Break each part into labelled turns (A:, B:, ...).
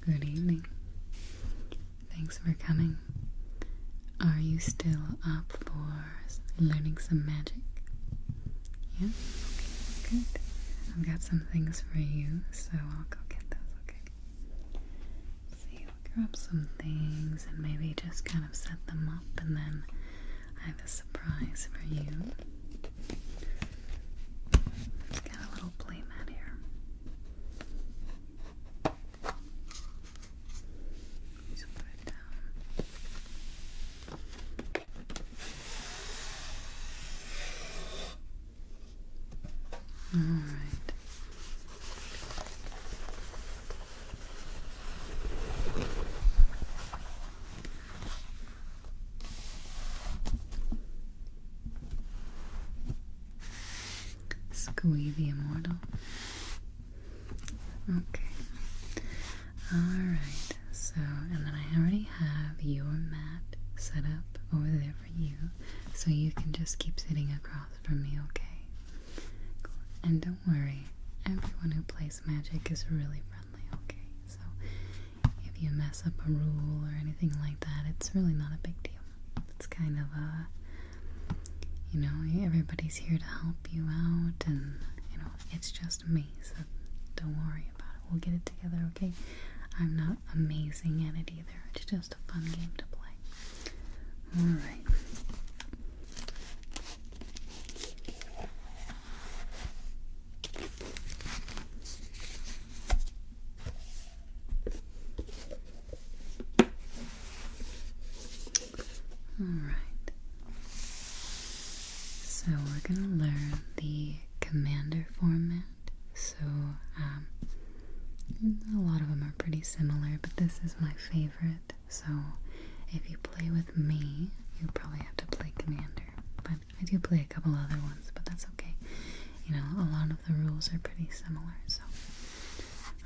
A: Good evening. Thanks for coming. Are you still up for learning some magic? Yeah? Okay, good. I've got some things for you, so I'll go get those, okay? So you grab some things and maybe just kind of set them up and then I have a surprise for you. got a little play mat here. Just put it down. All right. Scooey the Immortal. Okay. Alright, so, and then I already have your mat set up over there for you, so you can just keep sitting across from me, okay? And don't worry, everyone who plays magic is really friendly, okay? So if you mess up a rule or anything like that, it's really not a big deal. It's kind of a, uh, you know, everybody's here to help you out, and, you know, it's just me, so don't worry about it. We'll get it together, okay? I'm not amazing at it either. It's just a fun game to play. Alright. All right. So we're going to learn the commander format. So um, a lot of them are pretty similar, but this is my favorite. So if you play with me, you probably have to play Commander. But I do play a couple other ones, but that's okay. You know, a lot of the rules are pretty similar. So,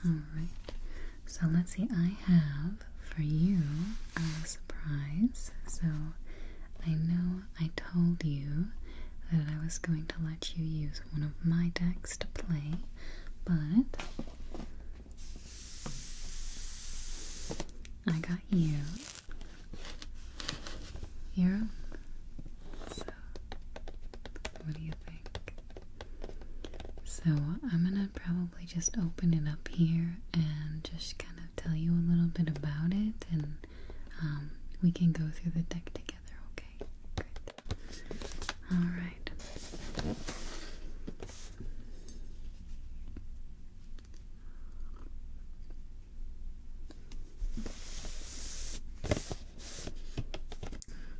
A: alright. So let's see, I have for you a surprise. So I know I told you that I was going to let you use one of my decks to play, but I got you. you So, what do you think? So, I'm gonna probably just open it up here and just kind of tell you a little bit about it, and um, we can go through the deck together, okay? Good. Alright.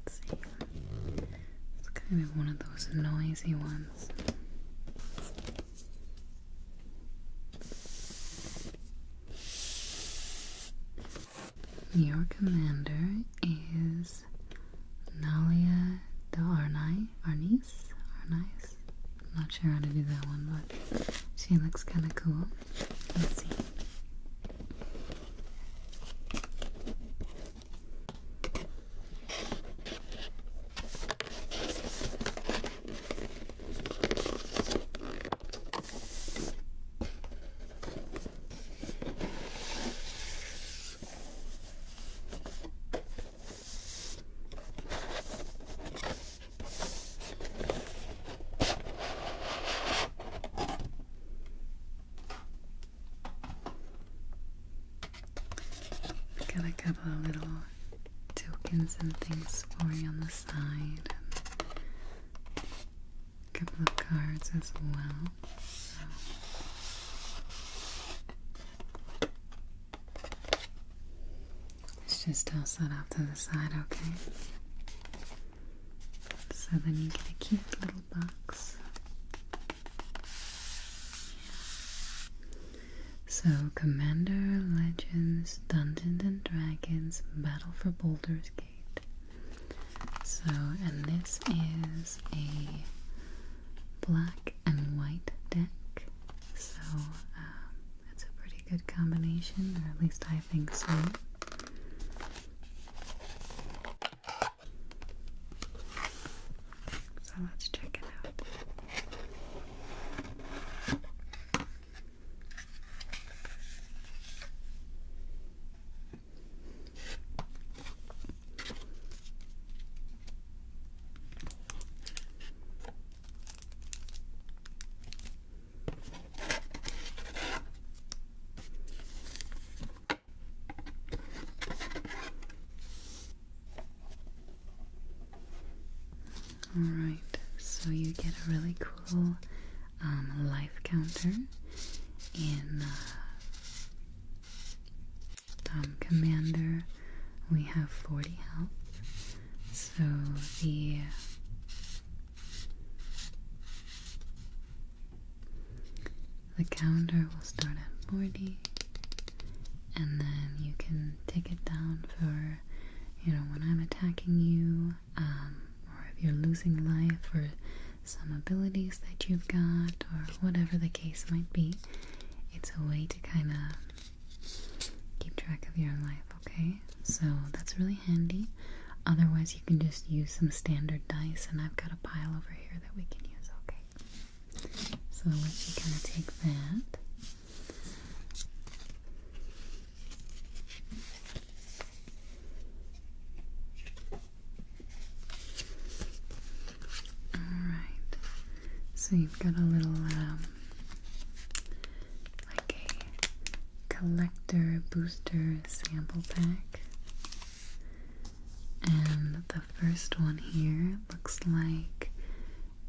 A: It's kind of one of those noisy ones. Your commander is Nalia the Arnie, Arnice, Arnice. i not sure how to do that one, but she looks kind of cool. Let's see. Got a couple of little tokens and things for you on the side, couple of cards as well. Let's just all set off to the side, okay? So then you get a cute little box. So, Commander Legends Dungeons and Dragons Battle for Boulder's Gate. So, and this is a black and white deck, so um, it's a pretty good combination, or at least I think so. So let's check it out. Alright, so you get a really cool um, life counter in uh, Commander, we have 40 health. So the the counter will start at 40 and then you can take it down for you know when I'm attacking you um, or if you're losing life or some abilities that you've got or whatever the case might be. It's a way to kind of keep track of your life, okay? So that's really handy. Otherwise, you can just use some standard dice, and I've got a pile over here that we can use, okay? So I'll let you kind of take that. Alright, so you've got a little, um, like a collector booster sample pack. And the first one here looks like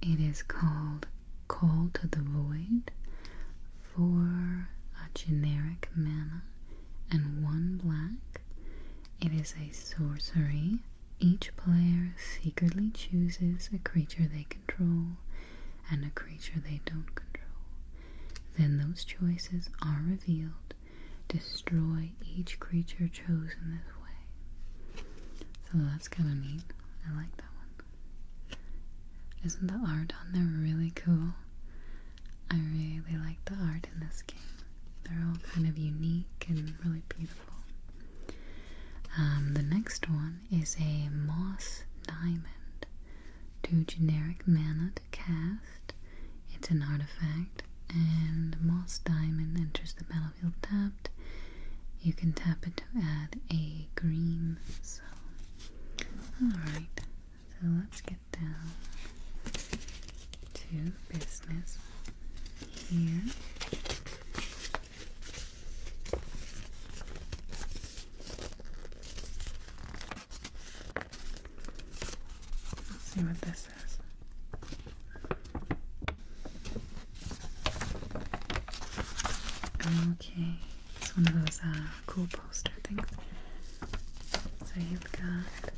A: it is called Call to the Void for a generic mana and one black. It is a sorcery each player secretly chooses a creature they control and a creature they don't control. Then those choices are revealed. Destroy each creature chosen this way. So that's kind of neat. I like that one. Isn't the art on there really cool? I really like the art in this game. They're all kind of unique and really beautiful. Um, the next one is a moss diamond, two generic mana to cast. It's an artifact, and moss diamond enters the battlefield tapped. You can tap it to add a green. So, all right. So let's get down to business here. Let's see what this is. Oh, okay, it's one of those uh, cool poster things. So you've got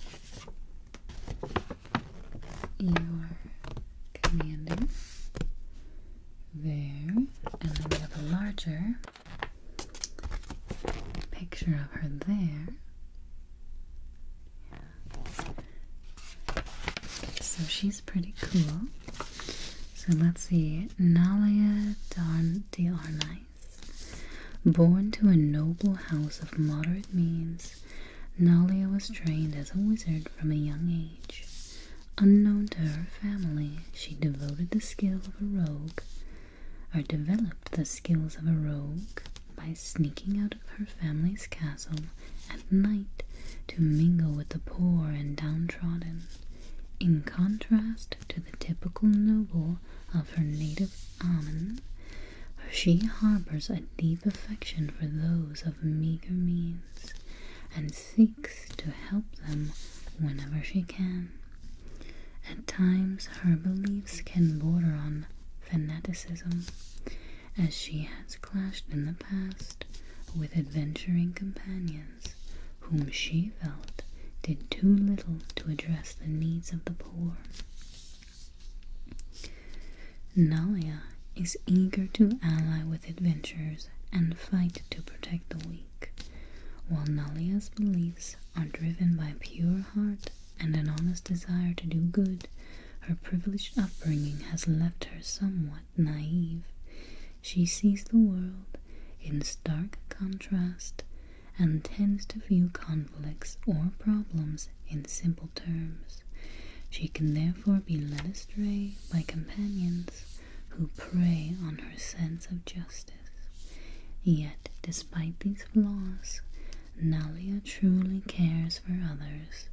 A: your commander there, and then we have a larger picture of her there. So she's pretty cool. So let's see. Nalia Darn Born to a noble house of moderate means, Nalia was trained as a wizard from a young age. Unknown to her family, she devoted the skill of a rogue, or developed the skills of a rogue, by sneaking out of her family's castle at night to mingle with the poor and downtrodden. In contrast to the typical noble of her native Amun, she harbors a deep affection for those of meager means and seeks to help them whenever she can. At times, her beliefs can border on fanaticism, as she has clashed in the past with adventuring companions whom she felt did too little to address the needs of the poor. Nalia is eager to ally with adventurers and fight to protect the weak, while Nalia's beliefs are driven by a pure heart and an honest desire to do good. Her privileged upbringing has left her somewhat naive. She sees the world in stark contrast and tends to view conflicts or problems in simple terms. She can therefore be led astray by companions who prey on her sense of justice. Yet, despite these flaws, Nalia truly cares for others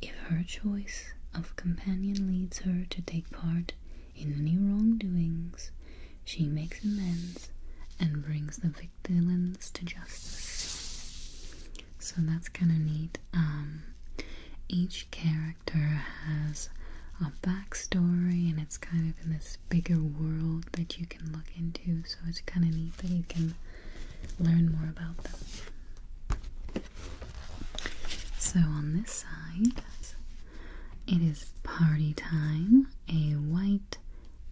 A: if her choice of companion leads her to take part in any wrongdoings, she makes amends and brings the victims to justice. So that's kind of neat. Um, each character has a backstory, and it's kind of in this bigger world that you can look into. So it's kind of neat that you can learn more about them. So on this side, it is party time. A white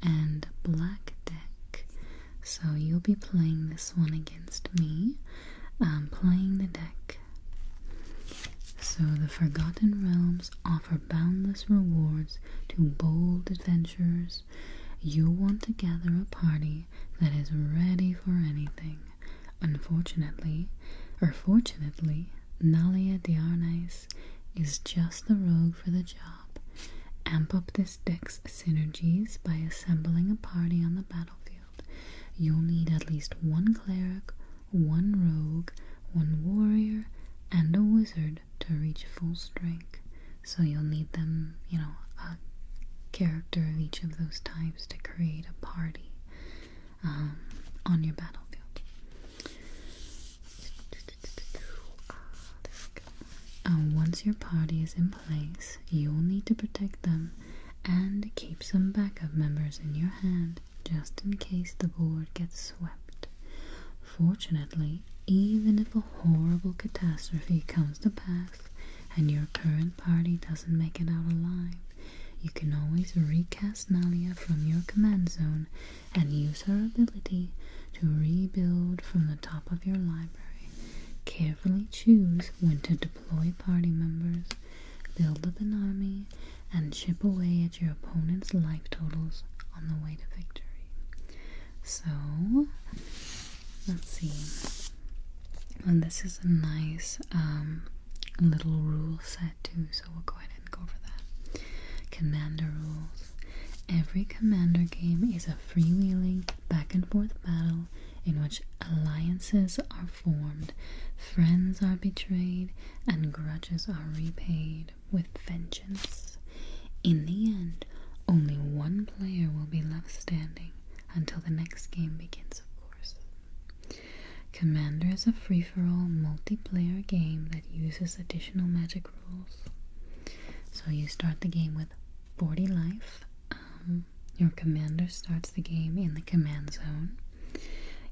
A: and black deck. So you'll be playing this one against me. Um, playing the deck. So, the Forgotten Realms offer boundless rewards to bold adventurers. You want to gather a party that is ready for anything. Unfortunately, or fortunately, Nalia Diarnais is just the rogue for the job. Amp up this deck's synergies by assembling a party on the battlefield. You'll need at least one cleric, one rogue, one warrior, and a wizard to reach full strength. So you'll need them, you know, a character of each of those types to create a party um, on your battlefield. Ah, uh, once your party is in you'll need to protect them and keep some backup members in your hand just in case the board gets swept. Fortunately, even if a horrible catastrophe comes to pass and your current party doesn't make it out alive, you can always recast Nalia from your command zone and use her ability to rebuild from the top of your library. Carefully choose when to deploy party members, build up an army, and chip away at your opponent's life totals on the way to victory. So, let's see. And this is a nice um, little rule set too, so we'll go ahead and go over that. Commander rules. Every commander game is a freewheeling back and forth battle in which alliances are formed, friends are betrayed, and grudges are repaid with vengeance. In the end, only one player will be left standing until the next game begins, of course. Commander is a free for all multiplayer game that uses additional magic rules. So you start the game with 40 life, um, your commander starts the game in the command zone.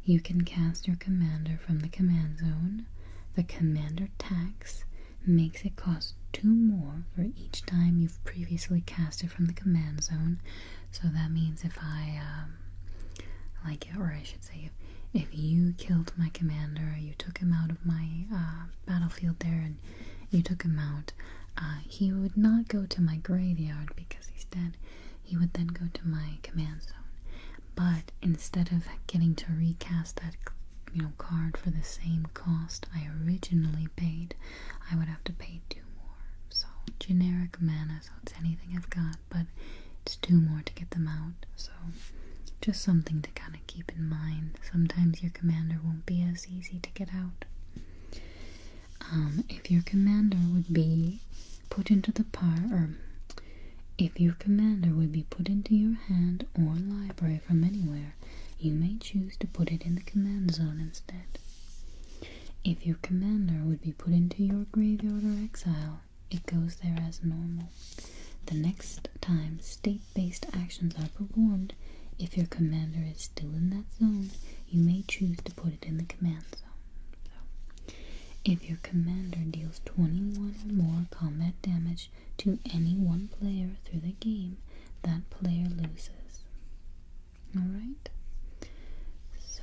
A: You can cast your commander from the command zone. The commander tax makes it cost two more for each time you've previously cast it from the command zone. So that means if I, um, like it, or I should say, if, if you killed my commander, you took him out of my uh, battlefield there and you took him out, uh, he would not go to my graveyard because he's dead. He would then go to my command zone. But instead of getting to recast that you know card for the same cost I originally paid, I would have to pay two more. So generic mana, so it's anything I've got, but it's two more to get them out. So just something to kind of keep in mind. Sometimes your commander won't be as easy to get out. Um, if your commander would be put into the par or if your commander would be put into your hand or library from anywhere, you may choose to put it in the command zone instead. If your commander would be put into your graveyard or exile, it goes there as normal. The next time state-based actions are performed, if your commander is still in that zone, you may choose put it in the command zone. if your commander deals 21 or more combat damage to any one player through the game, that player loses. Alright? So,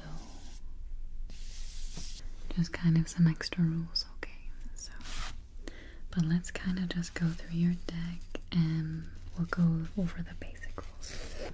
A: just kind of some extra rules, okay? So, but let's kind of just go through your deck and we'll go over the basic rules.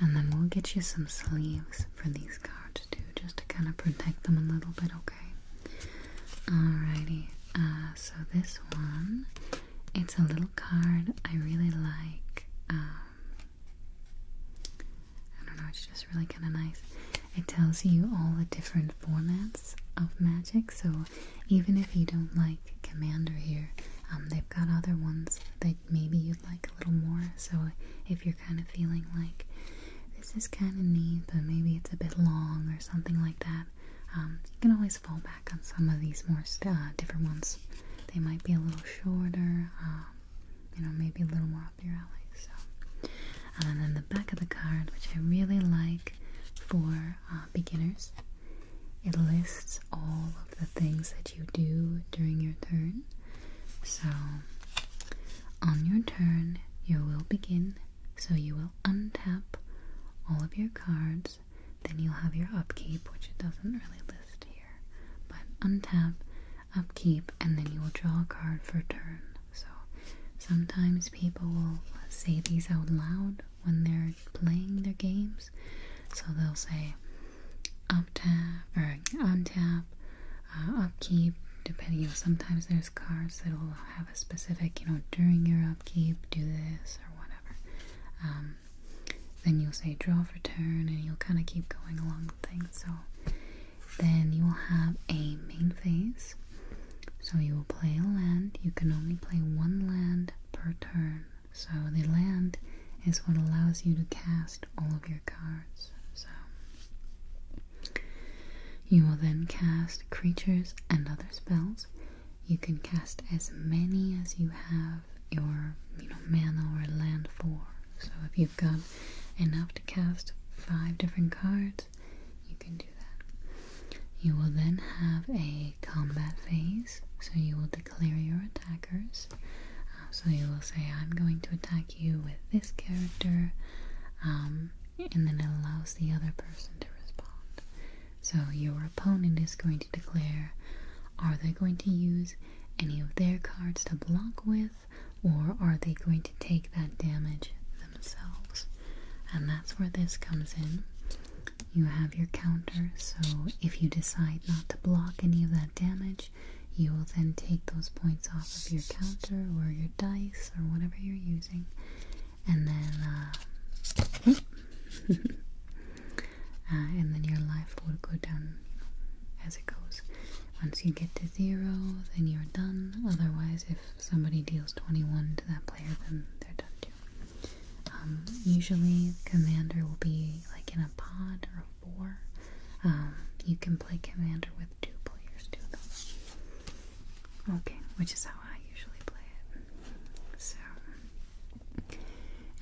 A: And then we'll get you some sleeves for these cards too, just to kind of protect them a little bit, okay? Alrighty, uh, so this one, it's a little card I really like. Um, I don't know, it's just really kind of nice. It tells you all the different formats of magic, so even if you don't like Commander here, um, they've got other ones that maybe you'd like little more. So if you're kind of feeling like this is kind of neat, but maybe it's a bit long or something like that, um, you can always fall back on some of these more uh, different ones. They might be a little shorter, um, you know, maybe a little more up your alley. So, and then the back of the card, which I really like for uh, beginners, it lists all the things that you do during your turn. So, on your turn, you will begin. So, you will untap all of your cards. Then, you'll have your upkeep, which it doesn't really list here. But, untap, upkeep, and then you will draw a card for turn. So, sometimes people will say these out loud when they're playing their games. So they'll say up tap or untap, uh, upkeep. Depending, you sometimes there's cards that will have a specific, you know, during your upkeep, do this or whatever. Um, then you'll say draw for turn, and you'll kind of keep going along the thing. So then you will have a main phase. So you will play a land. You can only play one land per turn. So the land is what allows you to cast all of your cards. So you will then cast creatures and other spells. You can cast as many as you have your you know mana or land for. So if you've got enough to cast five different cards, you can do that. You will then have a combat phase, so you will clear your attackers. Uh, so you will say, I'm going to attack you with this character, um, and then it allows the other person to respond. So your opponent is going to declare are they going to use any of their cards to block with, or are they going to take that damage themselves? And that's where this comes in. You have your counter, so if you decide not to block any of that damage, you will then take those points off of your counter or your dice or whatever you're using, and then, uh, uh, and then your life will go down as it goes. Once you get to zero, then you're done. Otherwise, if somebody deals 21 to that player, then they're done too. Um, usually, commander will be like in a pod or or um, you can play commander with two players, too, though. Okay, which is how I usually play it. So,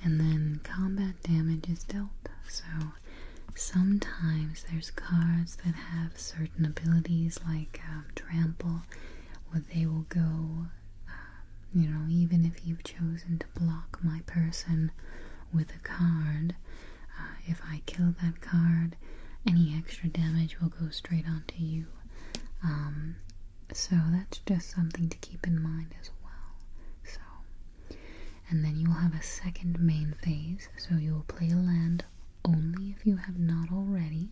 A: and then combat damage is dealt. So, sometimes there's cards that have certain abilities like um, trample, where they will go. Um, you know, even if you've chosen block my person with a card. Uh, if I kill that card, any extra damage will go straight onto you. Um, so that's just something to keep in mind as well. So, and then you will have a second main phase. So you will play land only if you have not already,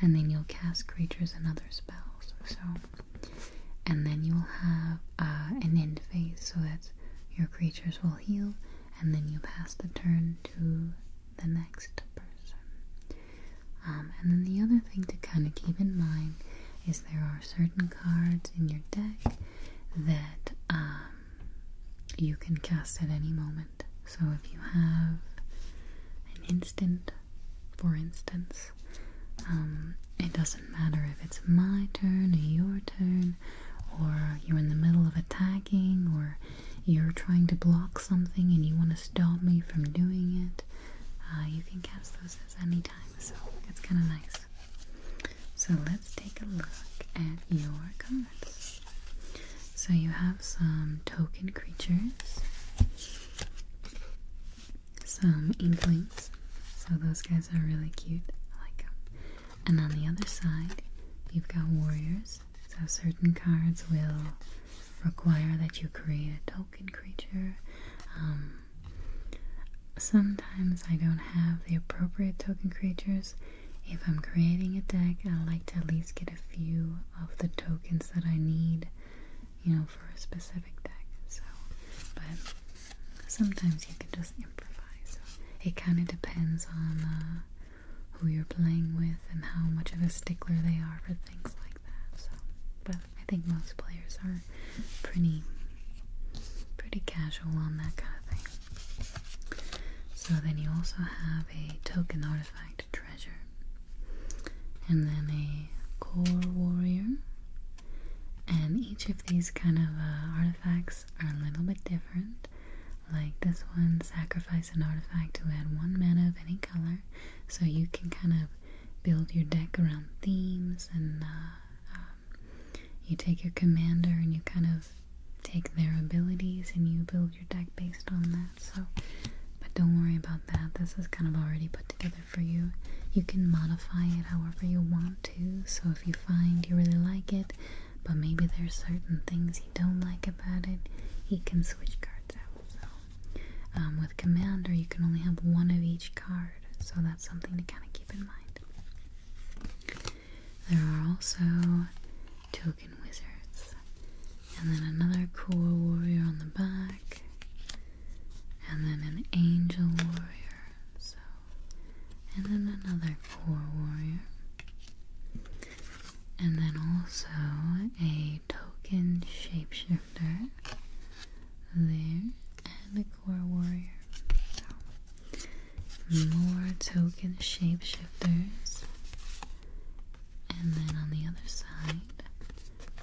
A: and then you'll cast creatures and other spells. So, and then you'll have uh, an end phase. So that's your creatures will heal, and then you pass the turn to the next person. Um, and then the other thing to kind of keep in mind is there are certain cards in your deck that um, you can cast at any moment. So if you have an instant, for instance, um, it doesn't doesn't matter if it's my turn or your turn, or you're in the middle of attacking, or you're trying to block something and you want to stop me from doing it. Uh, you can cast those as any time, so it's kind of nice. So let's take a look at your cards. So you have some token creatures, some inklings, so those guys are really cute. I like them. And on the other side, you've got warriors. So certain cards will require that you create a token creature. Um, sometimes I don't have the appropriate token creatures. If I'm creating a deck, I like to at least get a few of the tokens that I need, you know, for a specific deck. So, but sometimes you can just improvise. It kind of depends on uh, who you're playing with and how much of a stickler they are for things like that. So, but I think most players are pretty, pretty casual on that kind of thing. So then you also have a token artifact treasure, and then a core warrior. And each of these kind of uh, artifacts are a little bit different. Like this one, sacrifice an artifact to add one mana of any color, so you can kind of build your deck around themes, and uh, um, you take your commander and you kind of take their abilities and you build your deck based on that. So, but don't worry about that. This is kind of already put together for you. You can modify it however you want. So if you find you really like it, but maybe there's certain things you don't like about it, he can switch cards out. So um, with Commander, you can only have one of each card. So that's something to kind of keep in mind. There are also token wizards. And then another core warrior on the back. And then an angel warrior so and then another core warrior. And then also a token shapeshifter there and a core warrior. So more token shapeshifters. And then on the other side,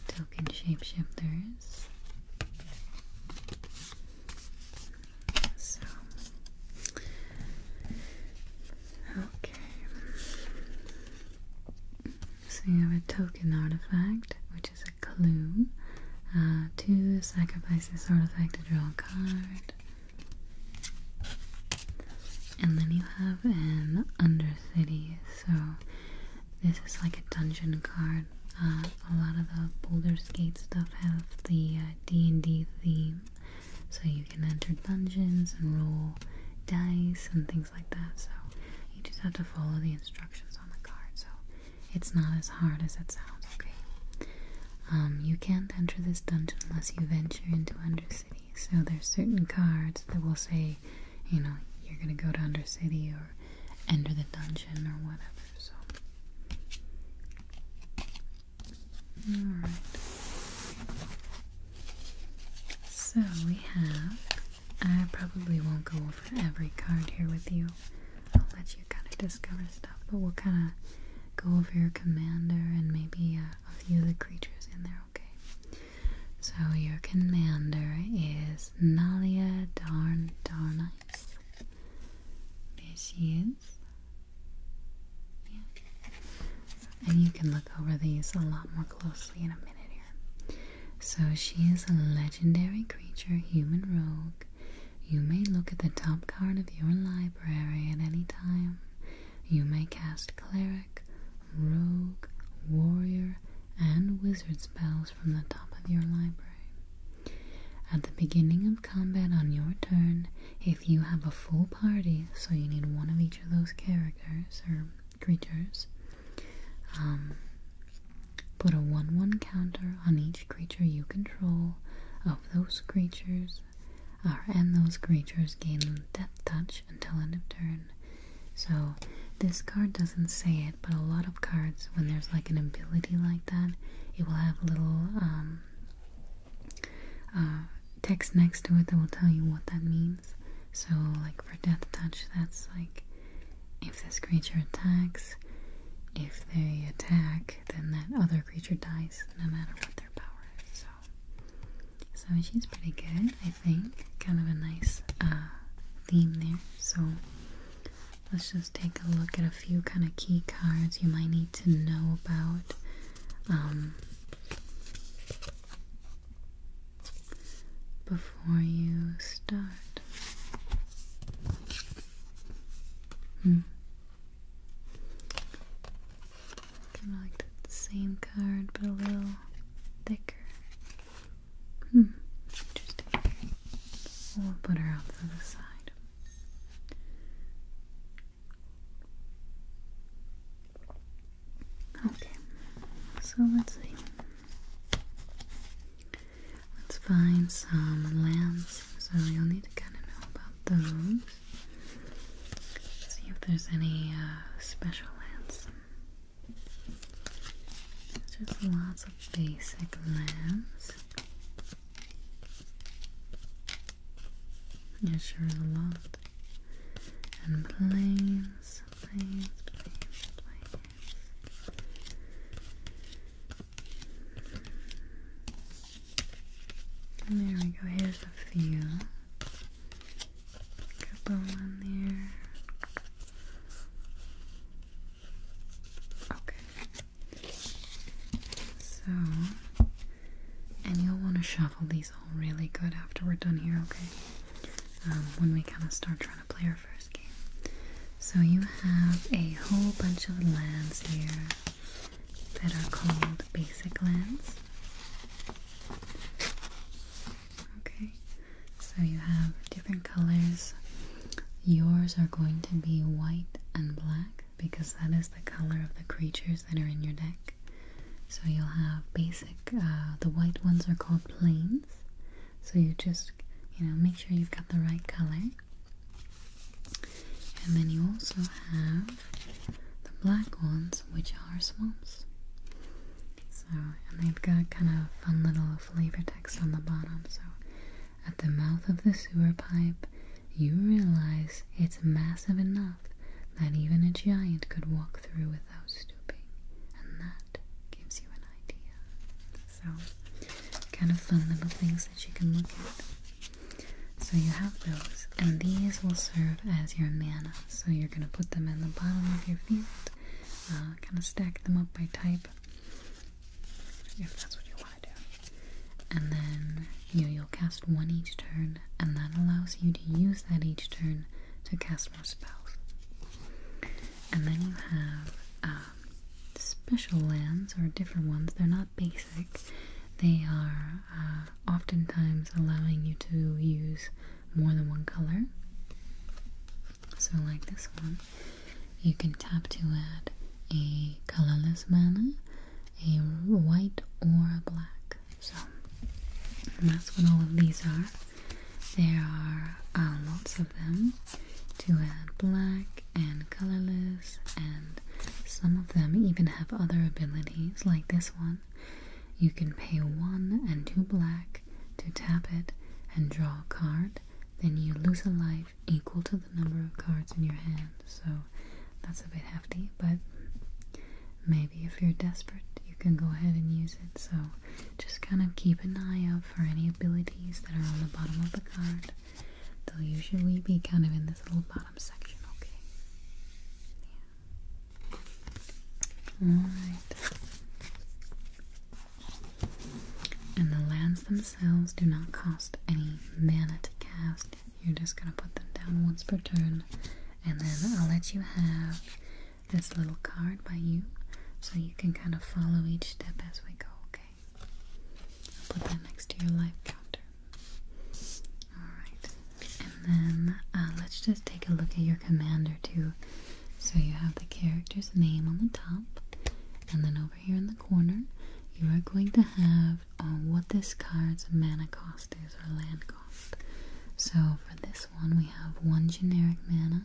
A: token shapeshifters. So, okay. So you have a token artifact, which is a clue uh, to sacrifice this artifact to draw a card. And then you have an Undercity, so this is like a dungeon card uh, a lot of the boulder skate stuff have the D&D uh, theme so you can enter dungeons and roll dice and things like that so you just have to follow the instructions on the card so it's not as hard as it sounds okay um, you can't enter this dungeon unless you venture into Undercity so there's certain cards that will say you know you're gonna go to Undercity or enter the dungeon or whatever so Alright. So we have. I probably won't go over every card here with you. I'll let you kind of discover stuff, but we'll kind of go over your commander and maybe uh, a few of the creatures in there, okay? So your commander is Nalia Darn Darna there she is. And you can look over these a lot more closely in a minute here. So she is a legendary creature, human rogue. You may look at the top card of your library at any time. You may cast cleric, rogue, warrior, and wizard spells from the top of your library. At the beginning of combat on your turn, if you have a full party, so you need one of each of those characters or creatures, um, put a 1 1 counter on each creature you control. Of those creatures, uh, and those creatures gain death touch until end of turn. So, this card doesn't say it, but a lot of cards, when there's like an ability like that, it will have little um, uh, text next to it that will tell you what that means. So, like for death touch, that's like if this creature attacks, if they attack, then that other creature dies no matter what their power is. So, so she's pretty good, I think. Kind of a nice uh, theme there. So, Let's just take a look at a few kind of key cards you might need to know about. Um, before you start. Hmm. Kind of like the same card, but a little thicker. Hmm, interesting. We'll put her off to the side. Okay, so let's see. Let's find some lamps. So you'll need to kind of know about those. See if there's any uh, special lamps. Just lots of basic lamps. Yeah, sure a lot. And planes, planes, planes, planes. there we go, here's a few. Couple on there. Okay. So, and you'll want to shuffle these all really good after we're done here, okay? Um, when we kind of start trying to play our first game. So, you have a whole bunch of lands here that are called basic lands. Okay, so you have different colors. Yours are going to be white and black because that is the color of the creatures that are in your deck. So you'll have basic, uh, the white ones are called planes. So you just, you know, make sure you've got the right color. And then you also have the black ones, which are swamps. So, and they've got kind of fun little flavor text on the bottom. So, at the mouth of the sewer pipe you realize it's massive enough that even a giant could walk through without stooping. And that gives you an idea. So, kind of fun little things that you can look at. So, you have those, and these will serve as your mana. So, you're going to put them in the bottom of your field, uh, kind of stack them up by type if that's what you and then you you'll cast one each turn, and that allows you to use that each turn to cast more spells. And then you have um, special lands, or different ones. They're not basic. They are uh, oftentimes allowing you to use more than one color. So, like this one, you can tap to add a colorless mana a white or a black. So that's what all of these are. There are uh, lots of them to add black and colorless, and some of them even have other abilities, like this one. You can pay one and two black to tap it and draw a card. Then you lose a life equal to the number of cards in your hand, so that's a bit hefty, but maybe if you're desperate, you can go ahead and use it. So just kind of keep an eye out for any abilities that are on the bottom of the card. They'll usually be kind of in this little bottom section, okay? Alright. And the lands themselves do not cost any mana to cast, you're just gonna put them down once per turn, and then I'll let you have this little card by you so you can kind of follow each step as we go, okay? I'll put that next to your life counter. Alright, and then uh, let's just take a look at your commander too. So you have the character's name on the top, and then over here in the corner, you are going to have um, what this card's mana cost is or land cost. So for this one, we have one generic mana.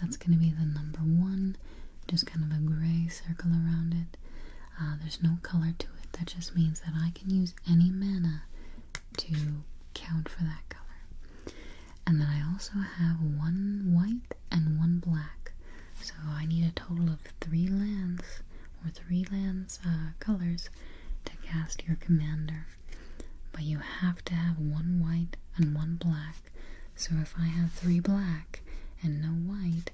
A: That's going to be the number one, just kind of a gray circle around it. Uh, there's no color to it. That just means that I can use any mana to count for that color. And then I also have one white and one black. So I need a total of three lands or three lands uh, colors to cast your commander. But you have to have one white and one black. So if I have three black and no white,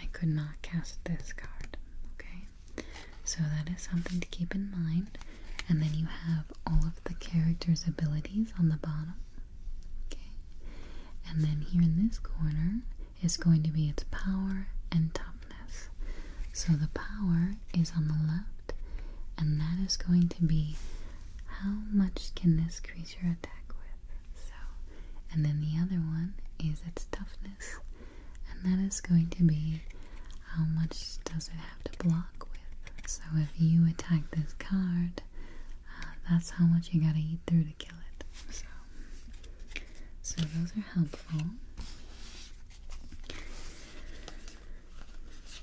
A: I could not cast this card. Okay? So that is something to keep in mind. And then you have all of the characters' abilities on the bottom. Okay? And then here in this corner, is going to be its power and toughness. So the power is on the left, and that is going to be how much can this creature attack with. So, and then the other one is its toughness, and that is going to be how much does it have to block with. So if you attack this card, uh, that's how much you gotta eat through to kill it. So so those are helpful.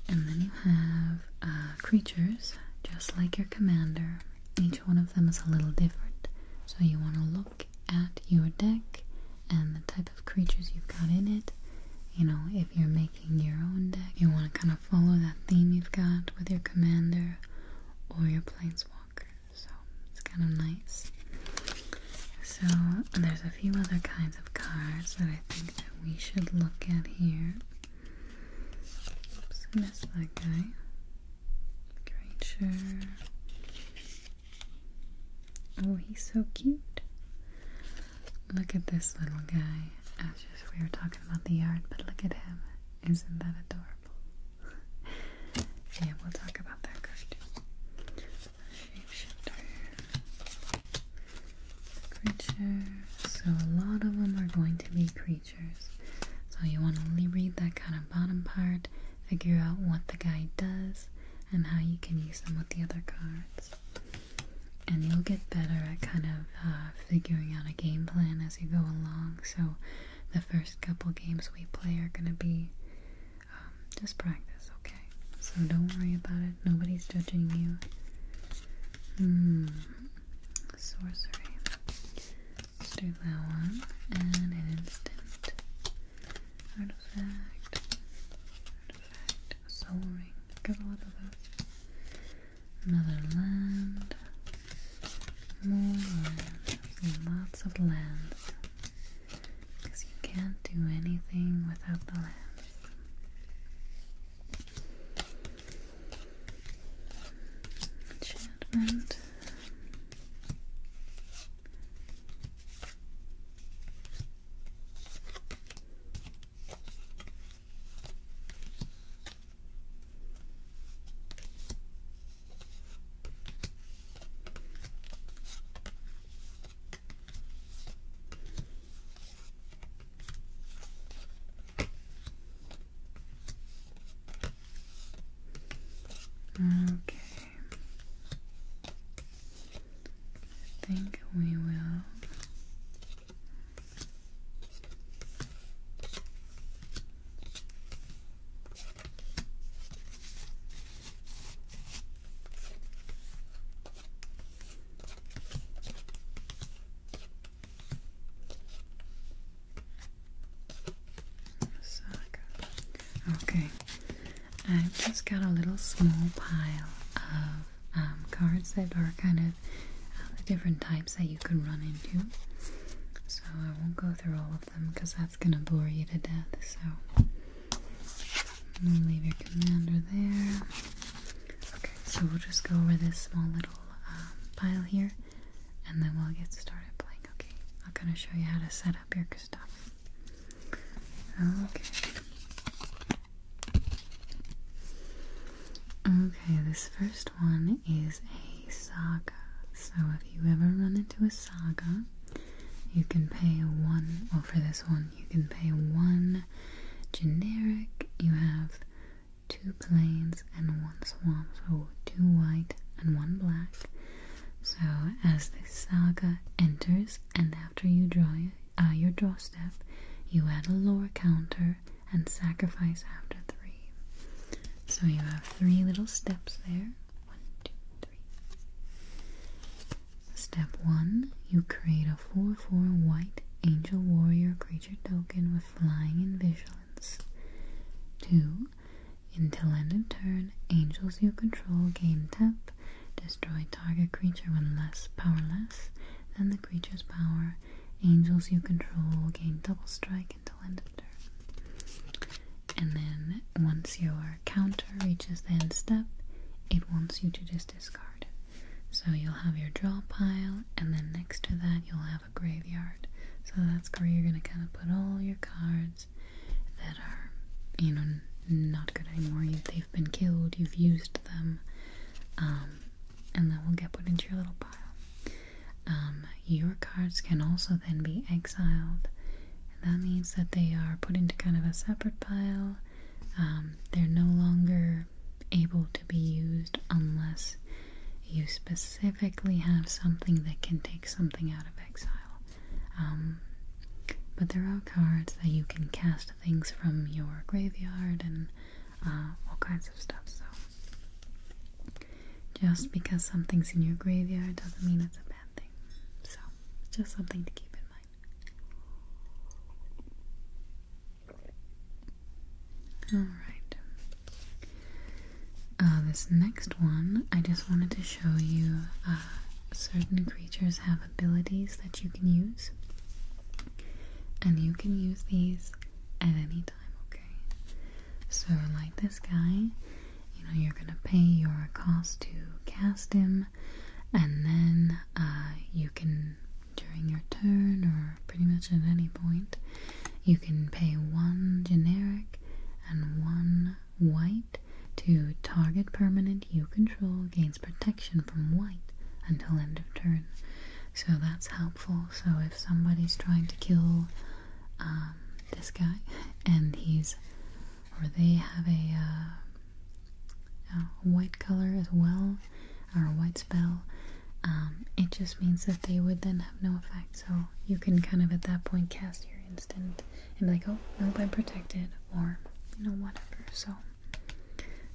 A: And then you have uh, creatures, just like your commander. Each one of them is a little different. So you want to look at your deck and the type of creatures you've got in it. You know, if you're making your own deck, you want to kind of follow that theme you've got with your commander or your planeswalker so it's kind of nice. So there's a few other kinds of cards that I think that we should look at here. Oops, missed that guy. Great Oh, he's so cute. Look at this little guy. As just we were talking about the yard, but look at him. Isn't that adorable? yeah, we'll talk about that Creature. So a lot of them are going to be creatures. So you want to only read that kind of bottom part, figure out what the guy does, and how you can use them with the other cards. And you'll get better at kind of uh, figuring out a game plan as you go along. So the first couple games we play are going to be um, just practice, okay? So don't worry about it. Nobody's judging you. Hmm. Sorcery. do that one. And an instant. Artifact. Artifact. Soul ring. Got a lot of those. Another land lots of land, because you can't do anything without the land. Enchantment. Okay. I think we will Okay, i just got a little small pile of um, cards that are kind of the uh, different types that you can run into. So I won't go through all of them because it's gonna bore you to death, so I'm gonna leave your commander there. Okay, so we'll just go over this small little um, pile here and then we'll get started playing. Okay, I'm gonna show you how to set up your stuff. Okay. Okay, this first one is a saga. So have you ever run into a saga, you can pay one, well, for this one, you can pay one generic. You have two planes and one swamp, so two white and one black. So, as the saga enters, and after you draw uh, your draw step, you add a lore counter and sacrifice after three. So, you have three little steps there one, Step 1. You create a 4 4 white angel warrior creature token with flying and vigilance. 2. Until end of turn, angels you control gain tap, destroy target creature when less powerless than the creature's power. Angels you control gain double strike until end of turn. And then once your counter reaches the end step, it wants you to just discard. So you'll have your draw pile, and then next to that, you'll have a graveyard. So that's where you're going to kind of put all your cards that are, you know, not good anymore. You, they've been killed, you've used them, um, and that will get put into your little pile. Um, your cards can also then be exiled that means that they are put into kind of a separate pile. Um, they're no longer able to be used unless you specifically have something that can take something out of exile. Um, but there are cards that you can cast things from your graveyard and uh, all kinds of stuff. So just because something's in your graveyard doesn't mean it's a bad thing. So just something to keep in mind. Alright. Uh, this next one, I just wanted to show you uh, certain creatures have abilities that you can use. And you can use these at any time, okay? So, like this guy, you know you're gonna pay your cost to cast him, and then uh, you can during your turn or pretty much at any point you can pay one generic and one white to target permanent you control gains protection from white until end of turn. So that's helpful. So if somebody's trying to kill um, this guy and he's or they have uh, a, white color as well, or a white spell, um, it just means that they would then have no effect. So you can kind of at that point cast your instant and be like, oh, no, I'm protected, or you know, whatever. So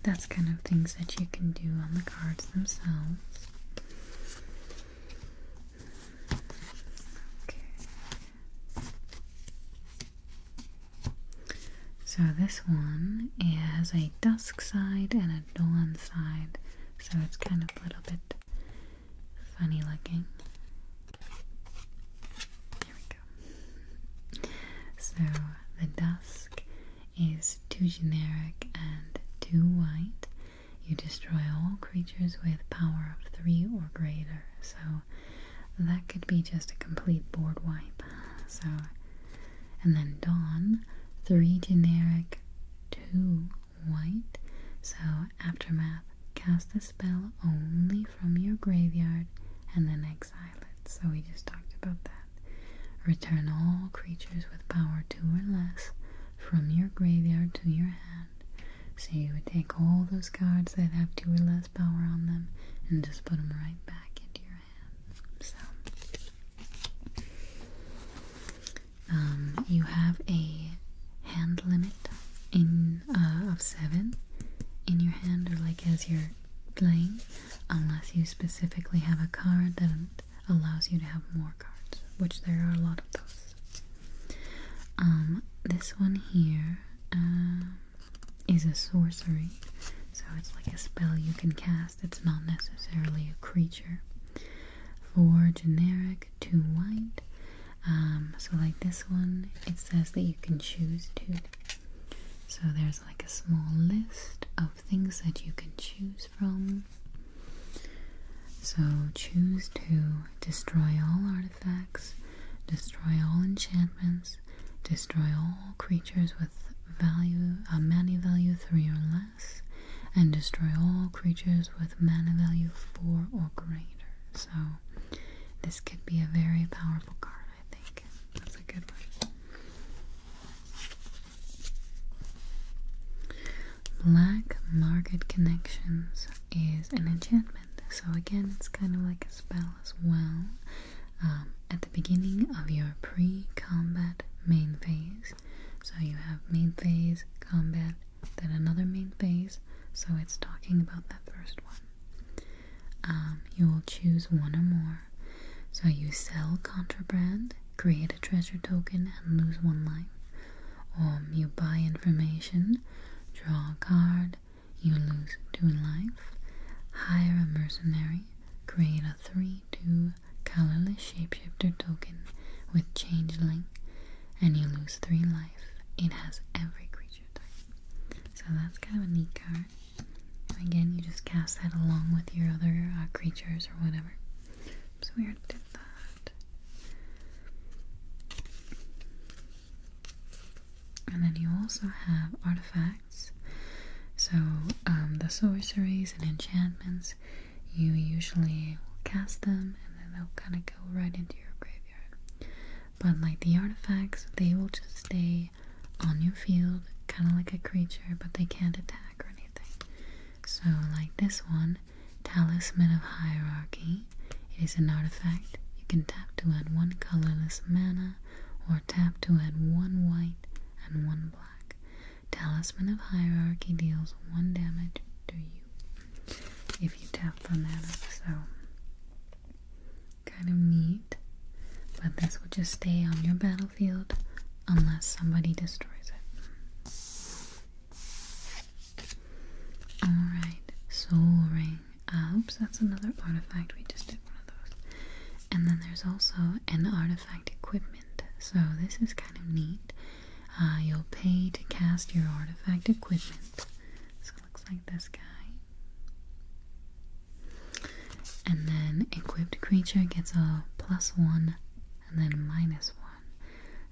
A: that's kind of things that you can do on the cards themselves. So this one has a dusk side and a dawn side, so it's kind of a little bit funny looking. Here we go. So the dusk is too generic and too white. You destroy all creatures with power of three or greater. So that could be just a complete board wipe. So, and then Dawn, three generic, two white. So, Aftermath, cast a spell only from your graveyard and then exile it. So, we just talked about that. Return all creatures with power two or less from your graveyard to your hand. So you would take all those cards that have two or less power on them and just put them right back into your hand. So, um, you have a hand limit uh, of seven in your hand, or like as you're playing, unless you specifically have a card that allows you to have more cards, which there are a lot of those. Um, this one here uh, is a sorcery, so it's like a spell you can cast. It's not necessarily a creature. For generic to white, um, so like this one, it says that you can choose to. So there's like a small list of things that you can choose from. So choose to destroy all artifacts destroy all enchantments, destroy all creatures with value a uh, mana value 3 or less, and destroy all creatures with mana value 4 or greater. So this could be a very powerful card, I think. That's a good one. Black Market Connections is an enchantment. So, again, it's kind of like a spell as well. Um, at the beginning of your pre combat main phase, so you have main phase, combat, then another main phase, so it's talking about that first one. Um, you will choose one or more. So, you sell contraband, create a treasure token, and lose one life. Or um, you buy information, draw a card, you lose two life. Hire a mercenary. Create a 3-2 colorless shapeshifter token with changeling, and you lose three life. It has every creature type. So that's kind of a neat card. And again, you just cast that along with your other uh, creatures or whatever. So we already did that. And then you also have artifacts. So, um, the sorceries and enchantments, you usually will cast them and then they'll kind of go right into your graveyard. But, like the artifacts, they will just stay on your field, kind of like a creature, but they can't attack or anything. So, like this one, Talisman of Hierarchy, it is an artifact. You can tap to add one colorless mana or tap to add one white and one black. Talisman of Hierarchy deals one damage to you if you tap for mana. So, kind of neat. But this will just stay on your battlefield unless somebody destroys it. Alright, Soul Rain oops, that's another artifact. We just did one of those. And then there's also an artifact equipment. So this is kind of neat. Uh, you'll pay to cast your artifact equipment. So it looks like this guy. And then equipped creature gets a plus one and then minus one.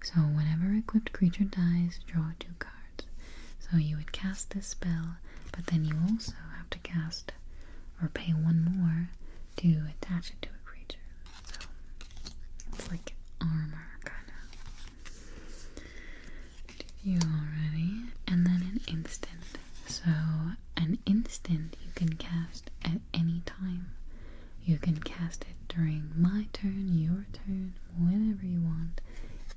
A: So whenever equipped creature dies, draw two cards. So you would cast this spell, but then you also have to cast or pay one more to attach it to a creature. So it's like armor, kind of. You already. And then an instant. So an instant you can cast at any time. You can cast it during my turn, your turn, whenever you want.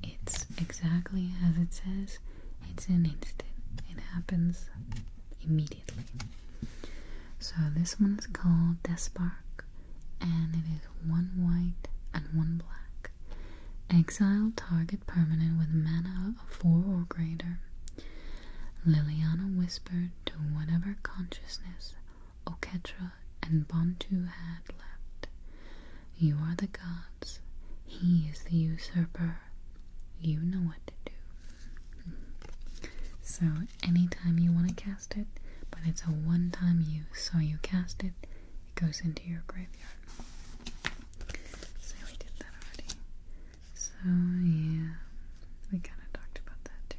A: It's exactly as it says. It's an instant. It happens immediately. So this one is called Spark, and it is one white and one black. Exile target permanent with mana of four or greater. Liliana whispered to whatever consciousness Oketra and Bantu had left. You are the gods. He is the usurper. You know what to do. So, anytime you want to cast it, but it's a one time use. So, you cast it, it goes into your graveyard. So, we did that already. So, yeah, we kind of talked about that too.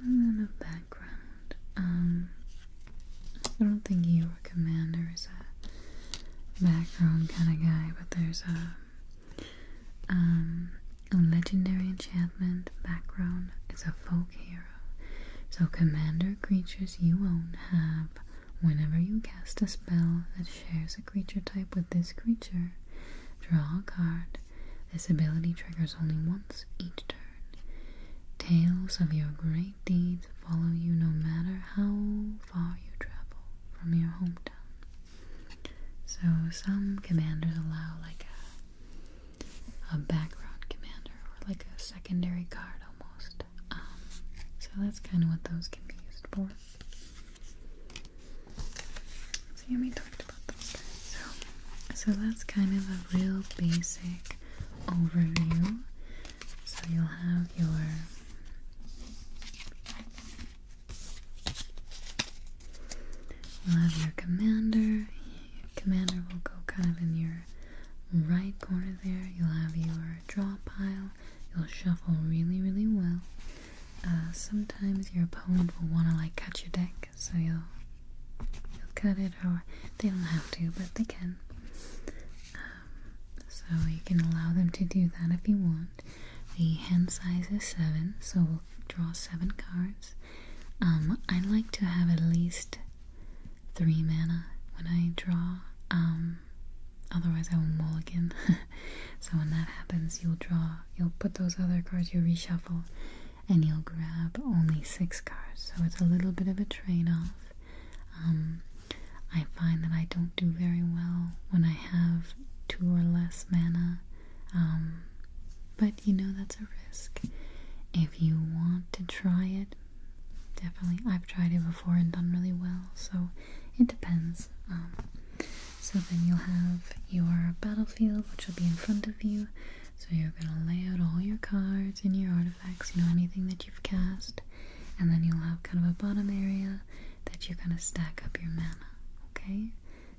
A: A little background. Um, I don't think you or Commander is a background kind of guy, but there's a um a legendary enchantment background. It's a folk hero. So Commander creatures you own have, whenever you cast a spell that shares a creature type with this creature, draw a card this ability triggers only once each turn. Tales of your great deeds follow you no matter how far you travel from your hometown. So some commanders allow like a a background commander or like a secondary card almost. Um, so that's kind of what those can be used for. So that's kind of a real basic overview. So you'll have your you'll have your commander. commander will go kind of in your right corner there. You'll have your draw pile. You'll shuffle really, really well. Uh, sometimes your opponent will want to like cut your deck, so you'll cut it, or they don't have to, but they can. Um, so you can allow them to do that if you want. The hand size is seven, so we'll draw seven cards. Um, I like to have at least three mana when I draw. Um, otherwise I will mulligan. so when that happens, you'll draw you'll put those other cards, you reshuffle, and you'll grab only six cards. So it's a little bit of a trade off. Um, I find that I don't do very well when I have two or less mana. Um, but you know, that's a risk. If you want to try it, definitely. I've tried it before and done really well, so it depends. Um, so then you'll have your battlefield, which will be in front of you. So you're going to lay out all your cards and your artifacts, you know, anything that you've cast. And then you'll have kind of a bottom area that you're going to stack up your mana, okay?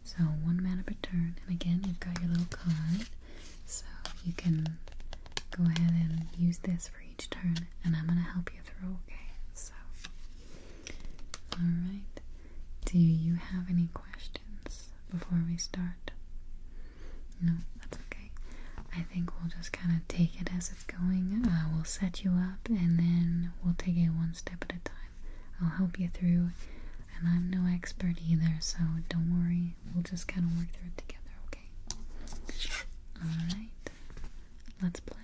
A: So one mana per turn. And again, you've got your little card. So you can go ahead and use this for each turn. And I'm going to help you through, okay? So Alright, do you have any questions before we start? No, that's okay. I think we'll just kind of take it as it's going. Uh, we'll set you up and then we'll take it one step at a time. I'll help you through, and I'm no expert either, so don't worry. We'll just kind of work through it together, okay? Alright, let's play.